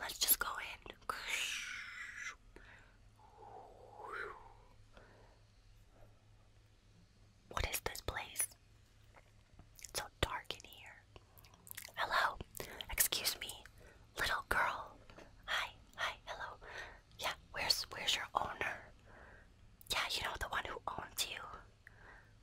Let's just go in. What is this place? It's so dark in here. Hello. Excuse me, little girl. Hi. Hi. Hello. Yeah, where's where's your owner? Yeah, you know the one who owns you.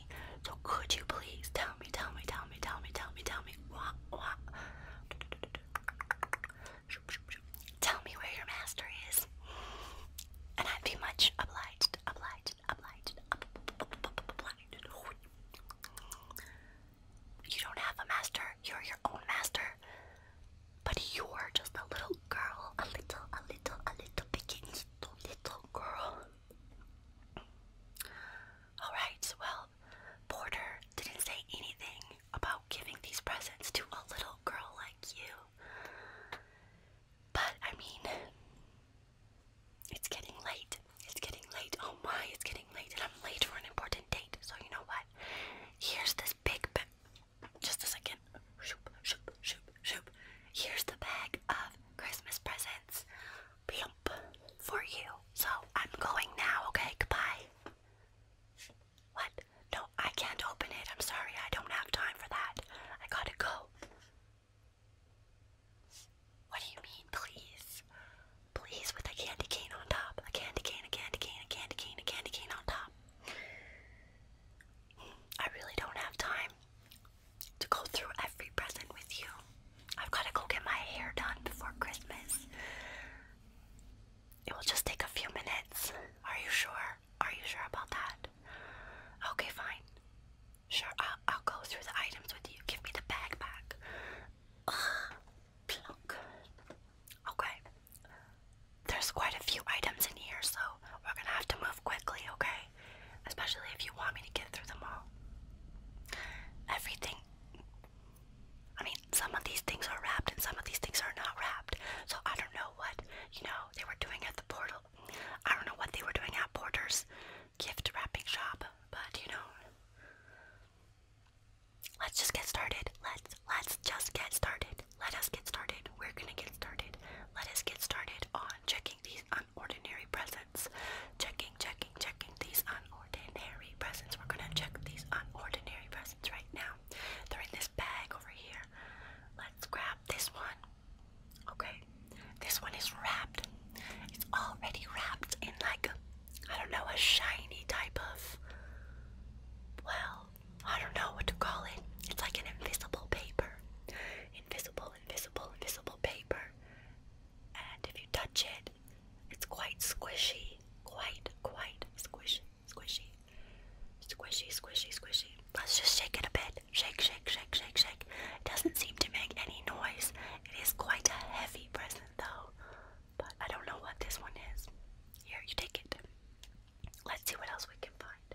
crazy. So could you please tell me, tell me, tell me, tell me, tell me, tell me, what, what? Tell me where your master is, and I'd be much obliged, obliged, obliged, obliged. You don't have a master. You're your own master. But you're just a little girl, a little, a little, a little, pequeñito, little girl. Alright, well, Porter didn't say anything about giving these presents to a little girl like you. But, I mean, it's getting late. It's getting late. Oh my, it's getting late, and I'm late for an important date. So, you know what? Here's this big bag. Just a second. Here's the bag of Christmas presents plump for you. So I'm going now, okay? Goodbye. What? No, I can't open it. I'm sorry. I don't have time for that. I gotta go. What do you mean, please? Please, with a candy cane on top. A candy cane, a candy cane, a candy cane, a candy cane on top. I really don't have time to go through every present with you. I've got to go get my hair done before Christmas. It will just take a few minutes. Are you sure? Are you sure about that? Okay, fine. Sure, I'll, go through the items with you. Give me the bag back. plunk. Okay. There's quite a few items in here, so we're gonna have to move quickly, okay? especially if you want me to get through them all. Everything. I mean, some of these things are wrapped and some of these things are not wrapped. So I don't know what, you know, they were doing at the portal. I don't know what they were doing at Porter's gift wrapping shop, but you know. Let's just get started. Let's let's just get started. Let us get started. We're gonna get started. Let us get started on checking these unordinary presents. Checking, checking, checking these unordinary presents. We're gonna check these unordinary presents right now. Throw this bag over here. Let's grab this one. Okay, this one is wrapped. It's already wrapped in like, I don't know, a shiny type of, well, I don't know what to call it. It's like an invisible paper. Invisible, invisible, invisible paper. And if you touch it, it's quite squishy. Quite, quite squishy, squishy. Squishy, squishy, squishy. Let's just shake it a bit. Shake, shake, shake, shake, shake. It doesn't seem to make any noise. It is quite a heavy present though. But I don't know what this one is. Here, you take it. Let's see what else we can find.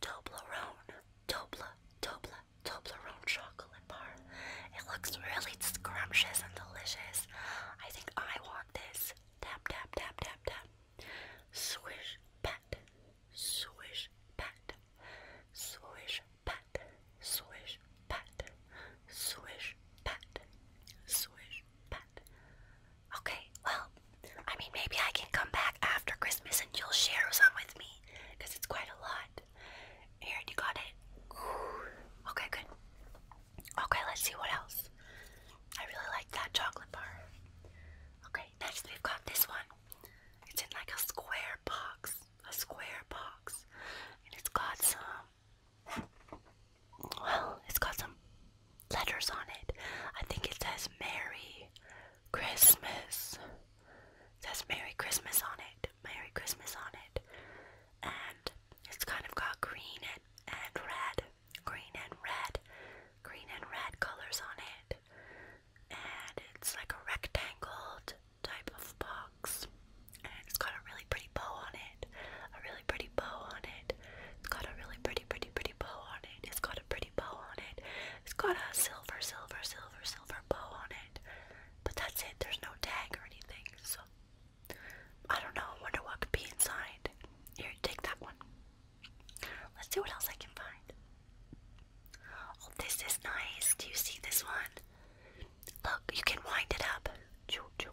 Toblerone, Tobla, Tobla, Toblerone chocolate bar. It looks really scrumptious and delicious. I think I want this. Tap, tap, tap, tap, tap. Swish, pat, swish, pat, swish, pat, swish, pat, swish, pat, swish, Pat. Okay, well, I mean, maybe I can come back after Christmas and you'll share some with me because it's quite a lot. Here, you got it. Okay, good. Okay, let's see what else. I really like that chocolate bar. Okay, next we've got this one. It's in like a square box. A square box. And it's got some well, it's got some letters on it. I think it says Merry Christmas. It says Merry Christmas on it. Merry Christmas on it. And it's kind of got green and, and red. Green and red. Green and red colors on it. And it's like a rectangle type of box. And it's got a really pretty bow on it. A really pretty bow on it. It's got a really pretty, pretty, pretty bow on it. It's got a pretty bow on it. It's got a silver, silver, silver, silver bow on it. But that's it. There's no tag or anything. So I don't know. I wonder what could be inside. Here, take that one. Let's see what else I can find. Oh, this is nice. Do you see this one? Look, you can wind it up. Choo, choo,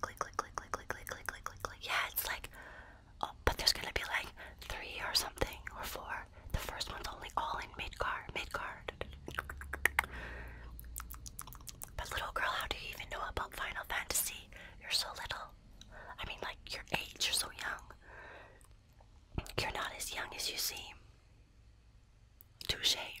click, click, click, click, click, click, click, click, click, click, click. Yeah, it's like, oh, but there's gonna be like three or something or four. The first one's only all in mid car, mid car. But little girl, how do you even know about Final Fantasy? You're so little. I mean, like your age. You're so young. You're not as young as you seem. Touche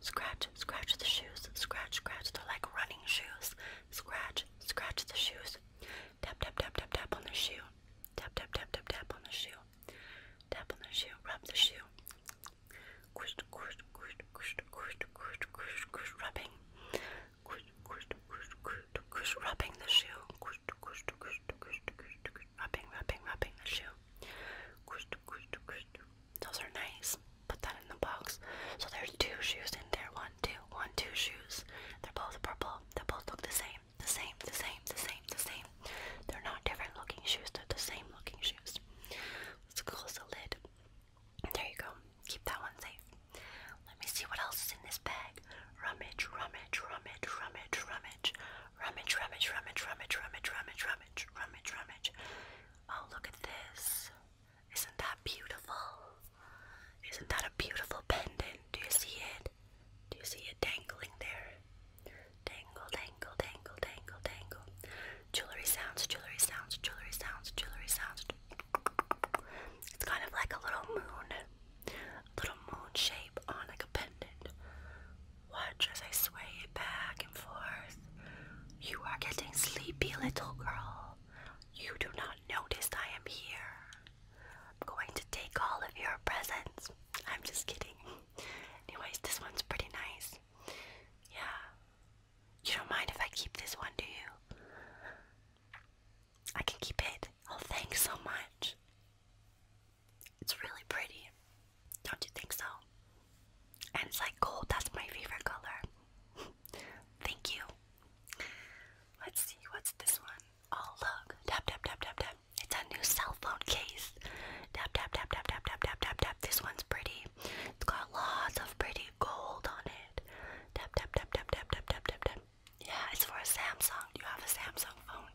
Scratch, scratch the shoes. Scratch, scratch. They're like running shoes. Scratch, scratch the shoes. Tap, tap, tap, tap, tap on the shoe. Tap, tap, tap, tap, tap on the shoe. Tap on the shoe. Rub the shoe. rubbing. rubbing the shoe. rubbing, rubbing, rubbing the shoe. Those are nice. Put that in the box. So there's two shoes in there. One, two, one, two shoes. They're both purple. They both look the same. The same, the same, the same, the same. They're not different looking shoes. They're the same looking shoes. Let's close the lid. There you go. Keep that one safe. Let me see what else is in this bag. Rummage, rummage, rummage, rummage, rummage. Rummage, rummage, rummage, rummage, rummage, rummage, rummage, rummage, rummage. Oh, look at this. Isn't that beautiful? Isn't that a beautiful pendant? Do you see it? Do you see it dangling there? Dangle, dangle, dangle, dangle, dangle. Jewelry sounds, jewelry sounds, jewelry sounds, jewelry sounds. It's kind of like a little moon. Little moon shape on like a pendant. Watch as I sway back and forth. You are getting sleepy, little girl. You do not notice I am here. I'm going to take all of your presents. I'm just kidding. Anyways, this one's pretty nice. Yeah. You don't mind if I keep this one, do you? I can keep it. Oh, thanks so much. It's really pretty. Don't you think so? And it's like gold, that's my favorite color. Thank you. Let's see, what's this one? Oh, look. Tap, tap, tap, tap, tap. It's a new cell phone case. Tap, tap, tap, tap, tap, tap, tap, tap, tap. This one's pretty. It's got lots of pretty gold on it. Tap, tap, tap, tap, tap, tap, tap, tap, tap. Yeah, it's for a Samsung. Do you have a Samsung phone?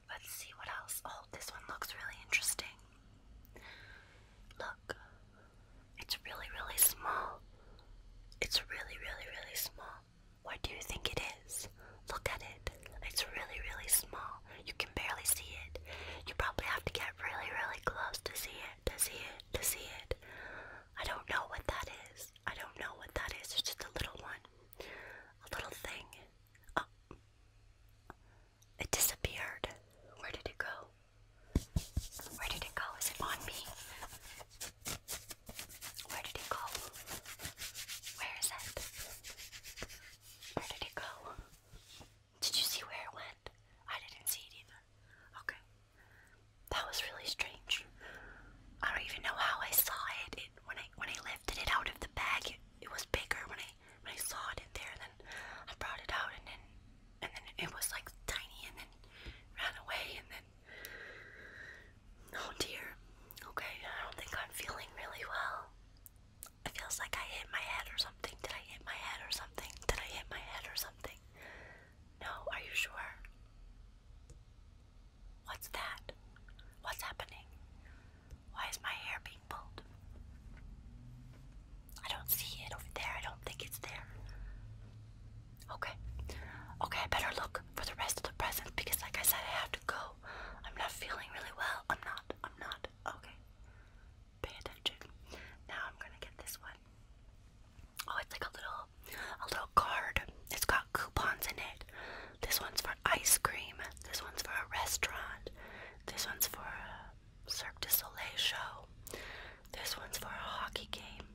Let's see what else. Oh, this one looks really interesting. Look, it's really, really small. It's really, really, really small. What do you think it is? Look at it. It's really, really small. You can barely see it. You probably have to get really, really close to see it, to see it, to see it. I don't know what that is. I don't know what that is. It's just a little one. A little thing. Oh. It disappeared. Where did it go? Where did it go? Is it on me? Where did it go? Where is it? Where did it go? Did you see where it went? I didn't see it either. Okay. That was really strange. I don't even know how I saw it. It when I when I lifted it out of the bag, it, it was bigger. When I when I saw it in there, and then I brought it out, and then and then it was like tiny, and then ran away, and then oh dear. Okay, I don't think I'm feeling really well. It feels like I hit my head or something. Did I hit my head or something? Did I hit my head or something? No, are you sure? What's that? What's happening? Why is my hair being pulled? I don't see it over there. I don't think it's there. Okay. Okay, I better look for the rest of the presents because like I said I have to go. I'm not feeling really well. I'm not. I'm not. Okay. Pay attention. Now I'm gonna get this one. Oh, it's like a little a little card. It's got coupons in it. This one's for ice cream. This one's for a restaurant. This one's for a Cirque du Soleil show. This one's for a hockey game.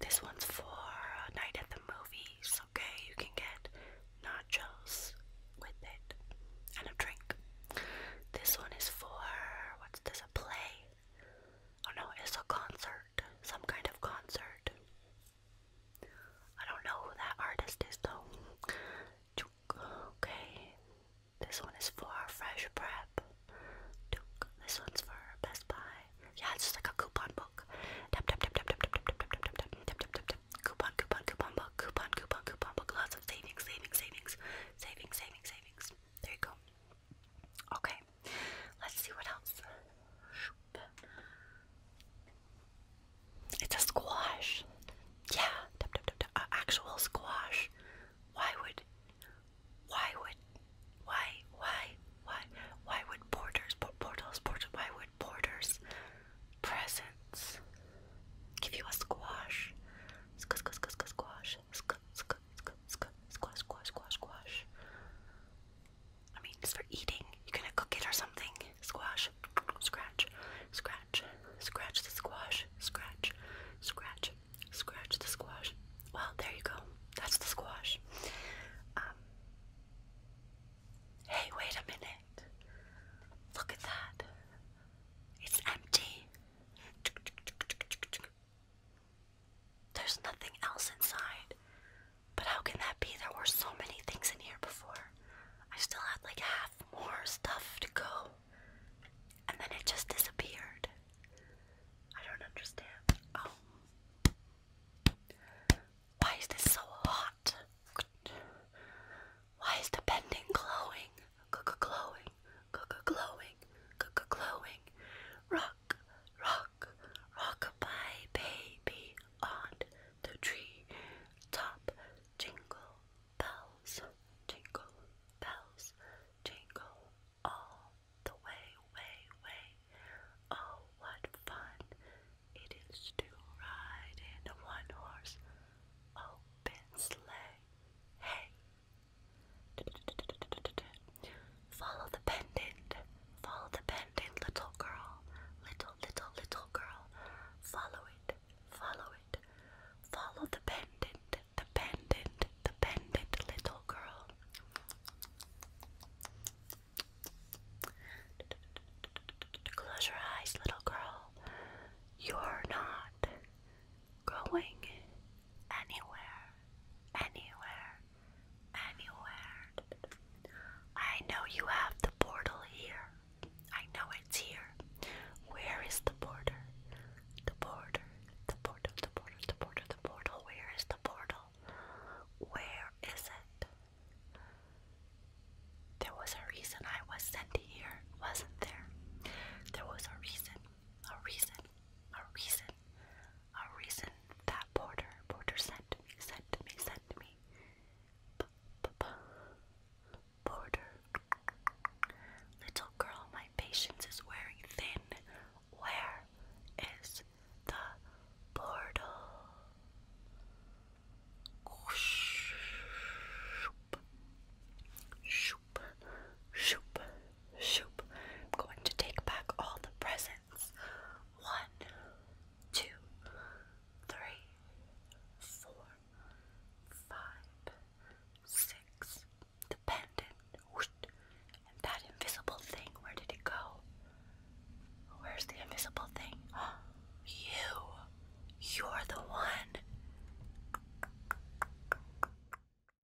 This one's for a night at the movies. Okay, you can get nachos with it and a drink. This one is for what's this? A play? Oh no, it's a concert some kind of concert. I don't know who that artist is though. Okay, this one is for Fresh Prep. This one's for Best Buy. Yeah, it's just like a coupon book. Coupon, coupon, coupon book, coupon, coupon, coupon book. Lots of savings, savings, savings, savings, savings, savings. There you go. Okay, Okay, let's see what else. It's a squash. Yeah, dip, dip, dip, dip. Uh, actual squash. Why would, why would, why, why, why, why would porters, por portals, portals, why would porters, presents, give you a squash? Squ squ squ squ squash, squ squ squ squ squash, squash, squash, squash. I mean, it's for eating. You're gonna cook it or something. Squash, scratch, scratch, scratch the squash, scratch, scratch, scratch the squash. Well, there you go. That's the squash. Um. Hey, wait a minute. Look at that. It's empty. There's nothing else inside. But how can that be? There were so many things in here before. I still had like half more stuff to go. And then it just disappeared. I don't understand. Oh. Why is this so hot? Why is the bending glowing? Glowing. Glowing. Glowing. Rock. Rock rock, rockabye baby on the tree top. Jingle bells, jingle bells, jingle all the way, way, way. Oh, what fun it is to ride in a one horse open sleigh. Hey, Follow the pendant. Follow the pendant, little girl. Little, little, little girl. Follow it. Follow it. Follow the pendant. The pendant. The pendant, little girl. Close your eyes, little girl. You're not going anywhere, anywhere, anywhere. I know you have the portal here. I know it's here. Where is the border? The border, the portal, the portal, the portal, the portal. Where is the portal? Where is it? There was a reason I was sent here, wasn't there? There was a reason, a reason, a reason a reason that Porter Porter sent me, sent me, sent me. Porter. Little girl, my patience is wearing thin. Where is the portal? Shoop. Shoop. Shoop. Shoop. I'm going to take back all the presents. One, two, three, four, five, six. The pendant. And that invisible thing, where did it go? Where's the invisible thing? You. You're the one.